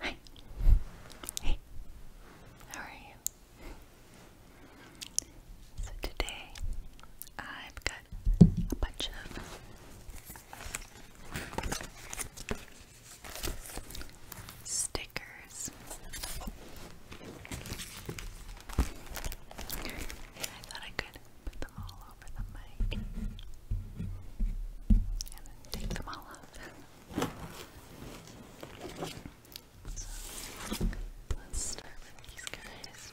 Hi. Hey. How are you? So today I've got a bunch of stickers. I thought I could put them all over the mic and then take them all love. So, let's start with these guys.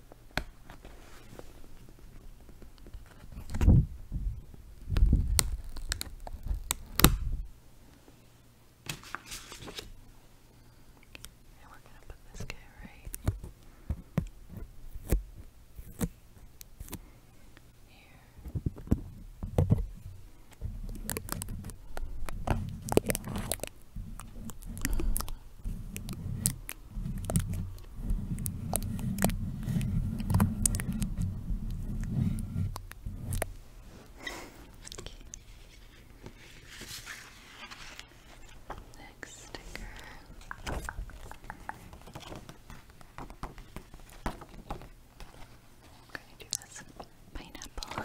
And we're going to put this guy right here. Next sticker. I'm gonna do this pineapple.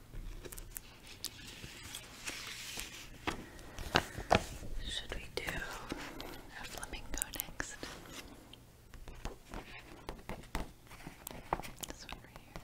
Should we do a flamingo next? This one right here.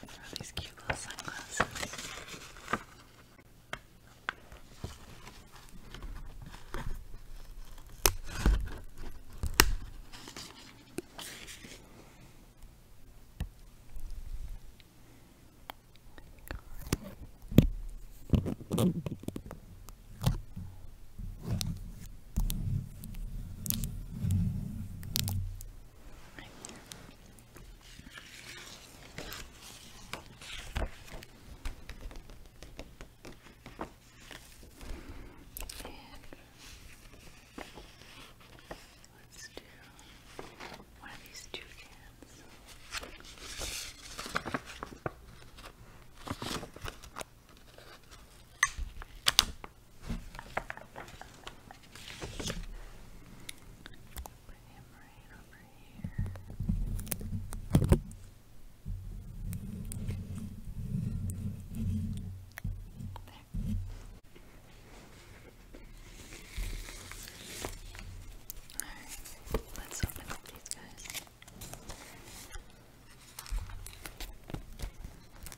There are these cute little sunglasses. Right Let's do one of these two cans. Put him let's open up these guys.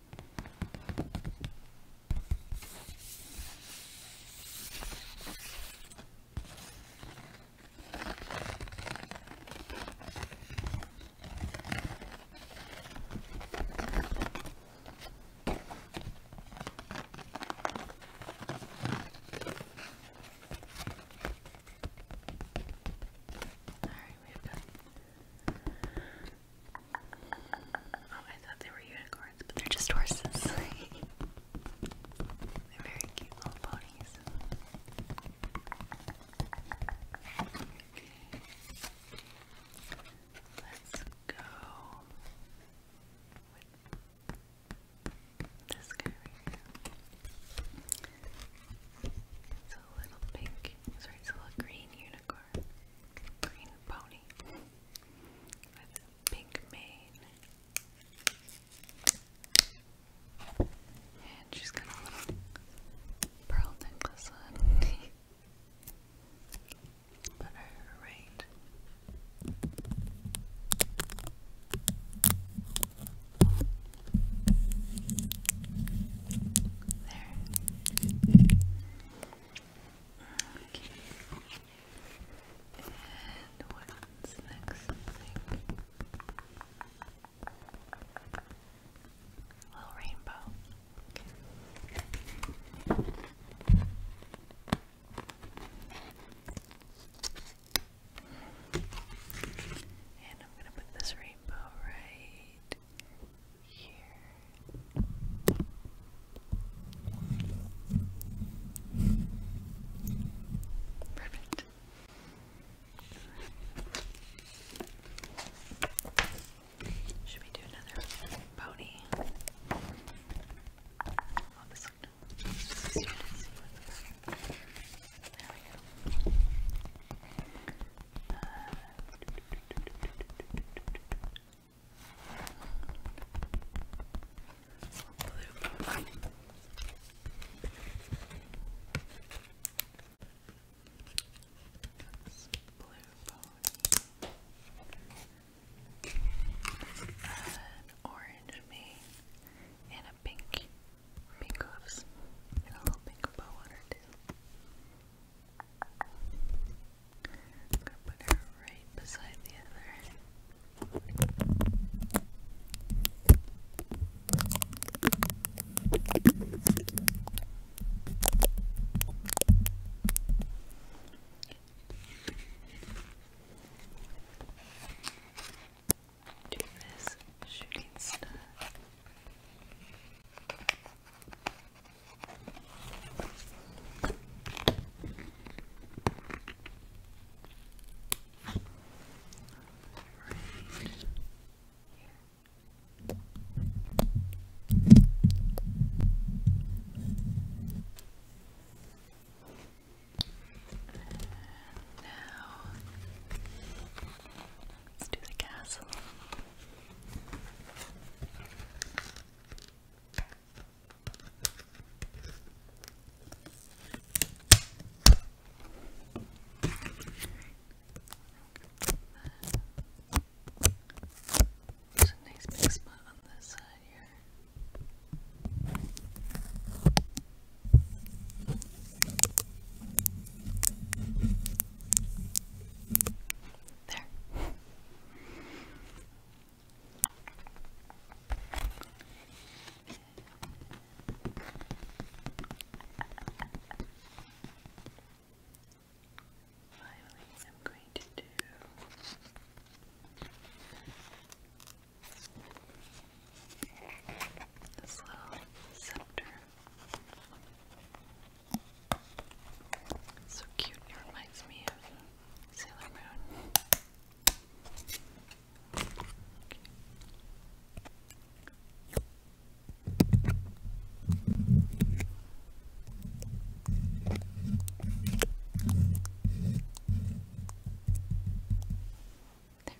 All right, we've got Oh, I thought they were unicorns, but they're just horses. they're very cute little ponies. Okay. Let's go with this guy right here. It's a little pinky. Sorry, it's a little green unicorn. Green pony. With pink mane. And she's got a pearl necklace on. but her there. Okay. And what's next Little rainbow. Okay. And I'm going to put this rainbow right right here. Perfect. Should we do another pony? Blue. That's blue pony. An orange mane and a pink pink gloves a little pink bow on her gonna put her right beside the other do this shooting stuff. now Let's do the castle. There's a nice big spot on this side here. There. Finally, I'm going to do this little scepter. so cute, reminds me of Sailor Moon. There.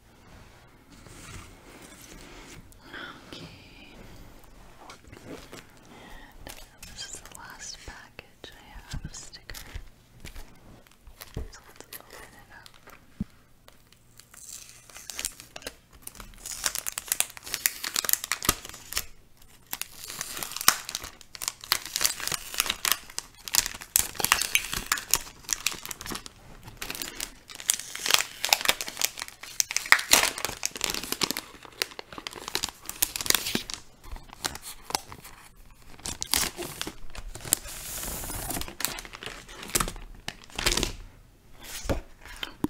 Okay. And uh, this is the last package I have sticker. So let's open it up.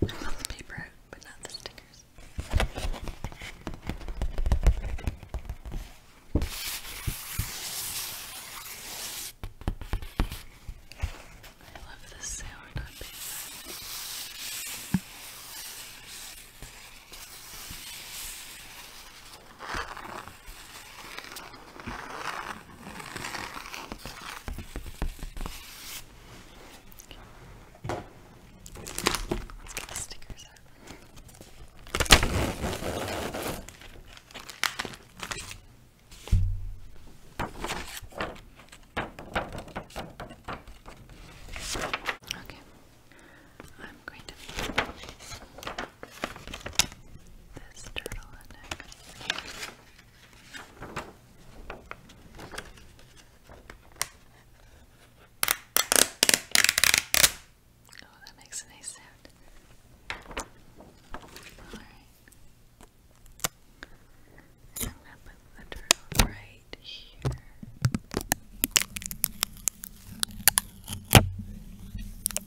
Not the paper out, but not the stickers. I love the sound of paper. Let's get the stickers out. Okay. Okay, I'm going to put this turtle in it. Oh, that makes a nice sound. Alright. I'm gonna put the drill right here. And the next one we're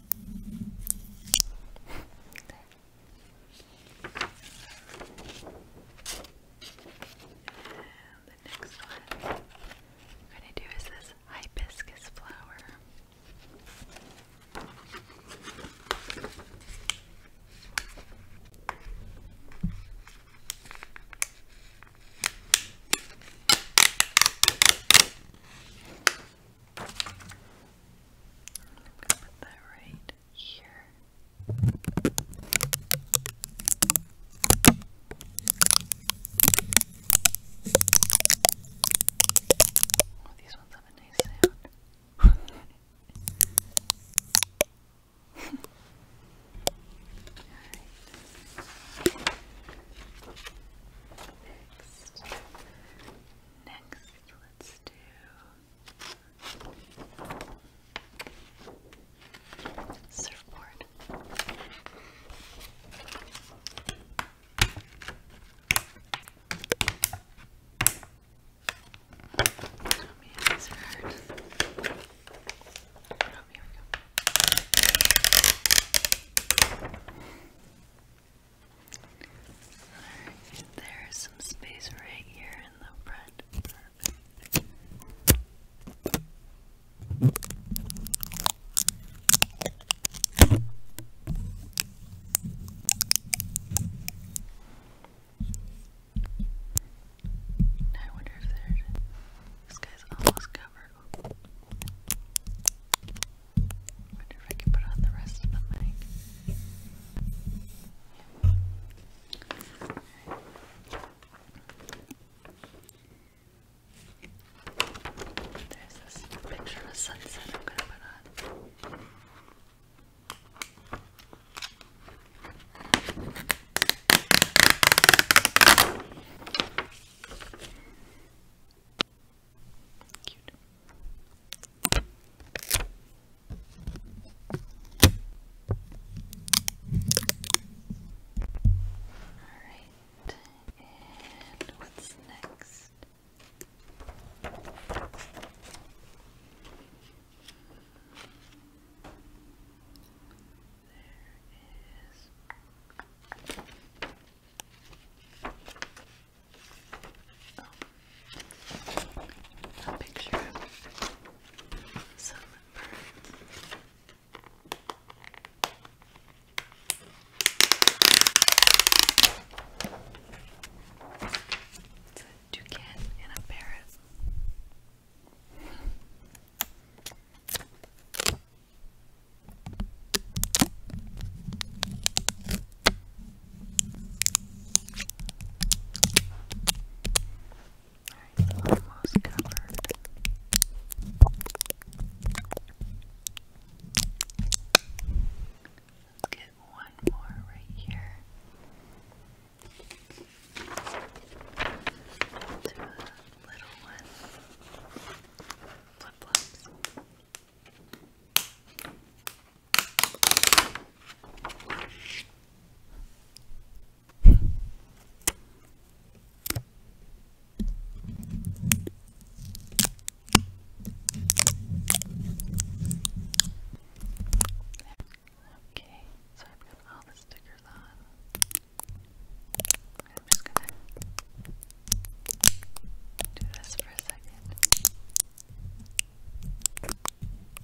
going to do is this hibiscus flower gonna put that right here. Oh, these ones Next. Next, let's do. Surfboard these hurt. Oh, here we go. Alright, there's some space right here in the front. Perfect. Alright, I wonder if there's this guy's almost covered. Ooh. I wonder if I can put on the rest of the mic. Yeah. Right. There's this picture of a sunset I'm gonna put on. Cute. All right, and what's next? oh, a picture of some birds. It's a toucan and a parrot. Alright, almost covered. Let's get one more right here. To a little one. Flip flops. Okay, so I've got all the stickers on. I'm just gonna do this for a second. Okay.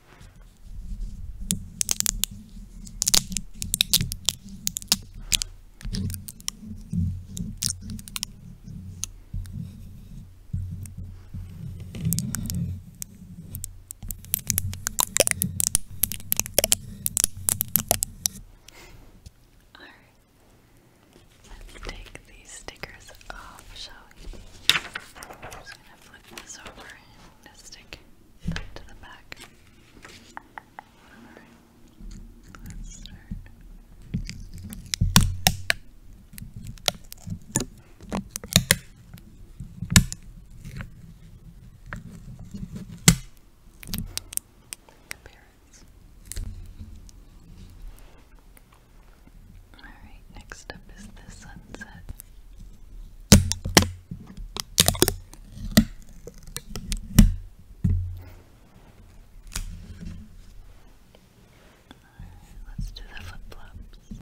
All right. Let's take these stickers off, shall we? I'm just gonna flip this over and stick to the back. Alright, let's start. Alright, next up is the sunset. Let's do the flip flops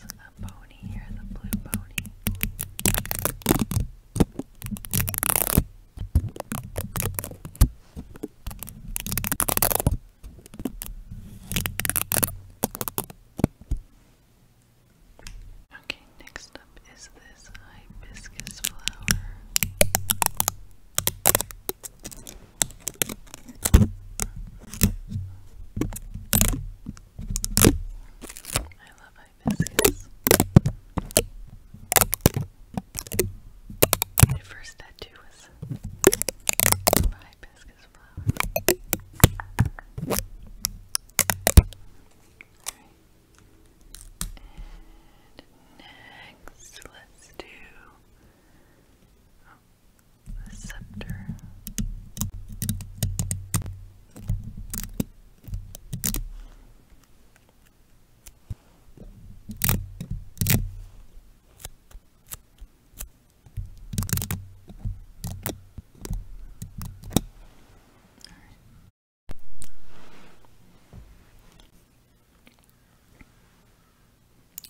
there's a pony here, the blue pony. Okay, next up is this this hibiscus flower. I love hibiscus. My first tattoo was a hibiscus flower. And next, let's do the scepter.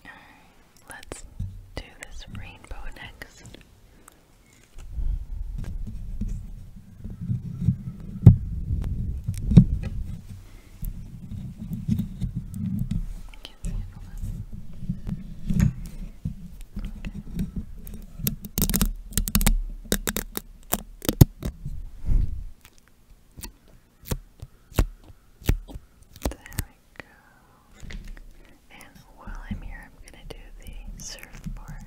Alright, let's do this rainbow next. There we go. And while I'm here, I'm going to do the surfboard.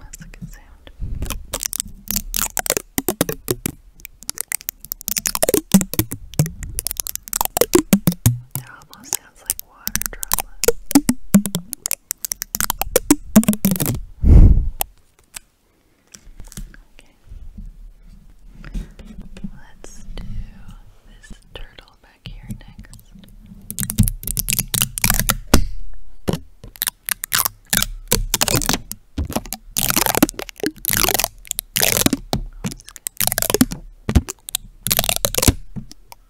that's a good sound. They're almost sounds like water droplets. Okay. Let's do this turtle back here next.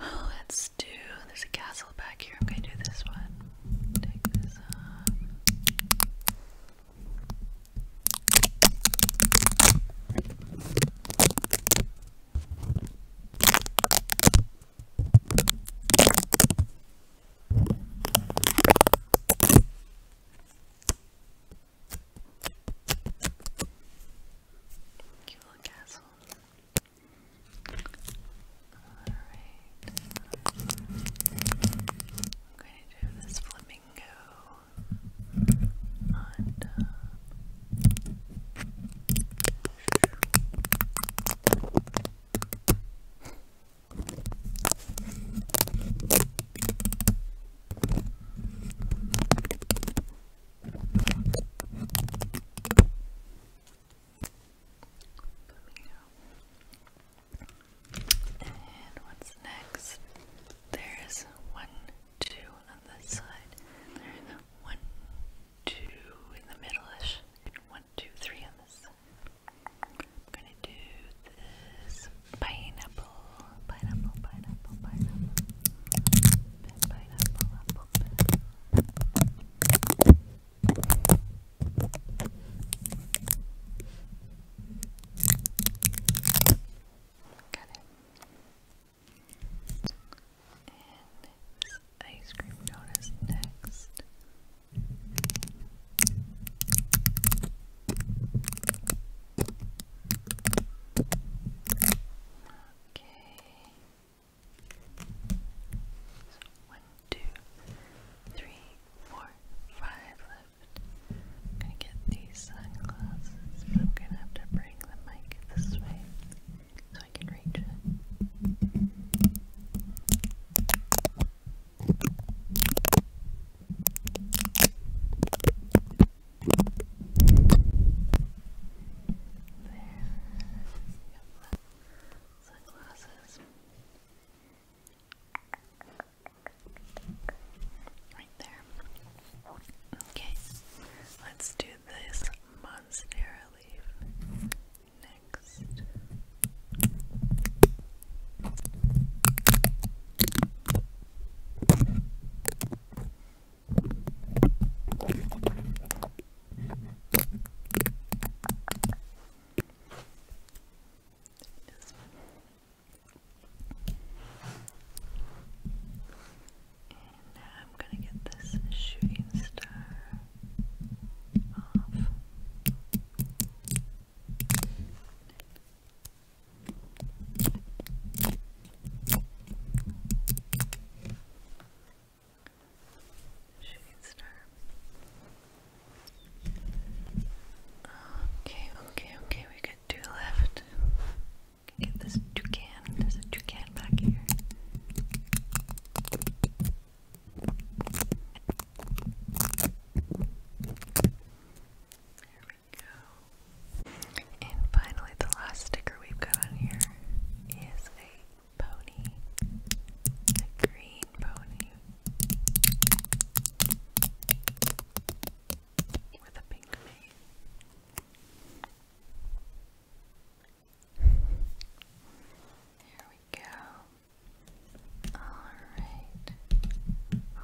Oh, let's do. There's a castle back here. I'm gonna do this one. Cute little castle. Alright. I'm going to do this flamingo uh, and what's next? There's one, two on this side. one, two in the middle-ish. one, two, three on this I'm gonna do this pineapple, pineapple, pineapple, pineapple. Pineapple, pineapple, Got it. And ice cream donut is next. Okay. So one, two, three, four, five left. gonna get these sunglasses, I'm gonna have to bring the mic this way so I can reach it. Right there. Okay, let's do this monstera leaf next. And now I'm going to get this shooting star off. Okay. Okay, okay, okay, we got two left. get this toucan. There's a toucan back here. There we go. And finally, the last sticker we've got on here is a pony, a green pony with a pink mane. There we go. Alright.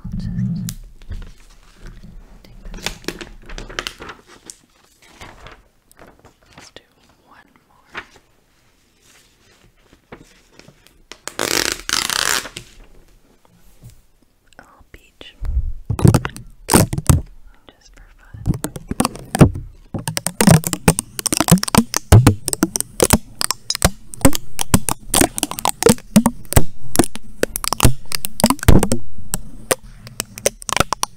I'll just take this. Let's do one more. A oh, little peach. Just for fun.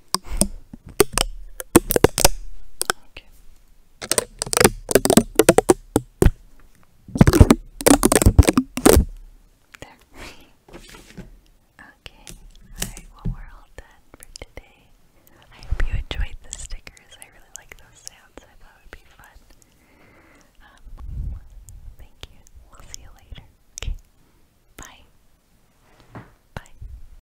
Okay. okay. Alright, well we're all done for today. I hope you enjoyed the stickers. I really like those sounds. I thought it would be fun. Um, thank you. We'll see you later. Okay. Bye. Bye.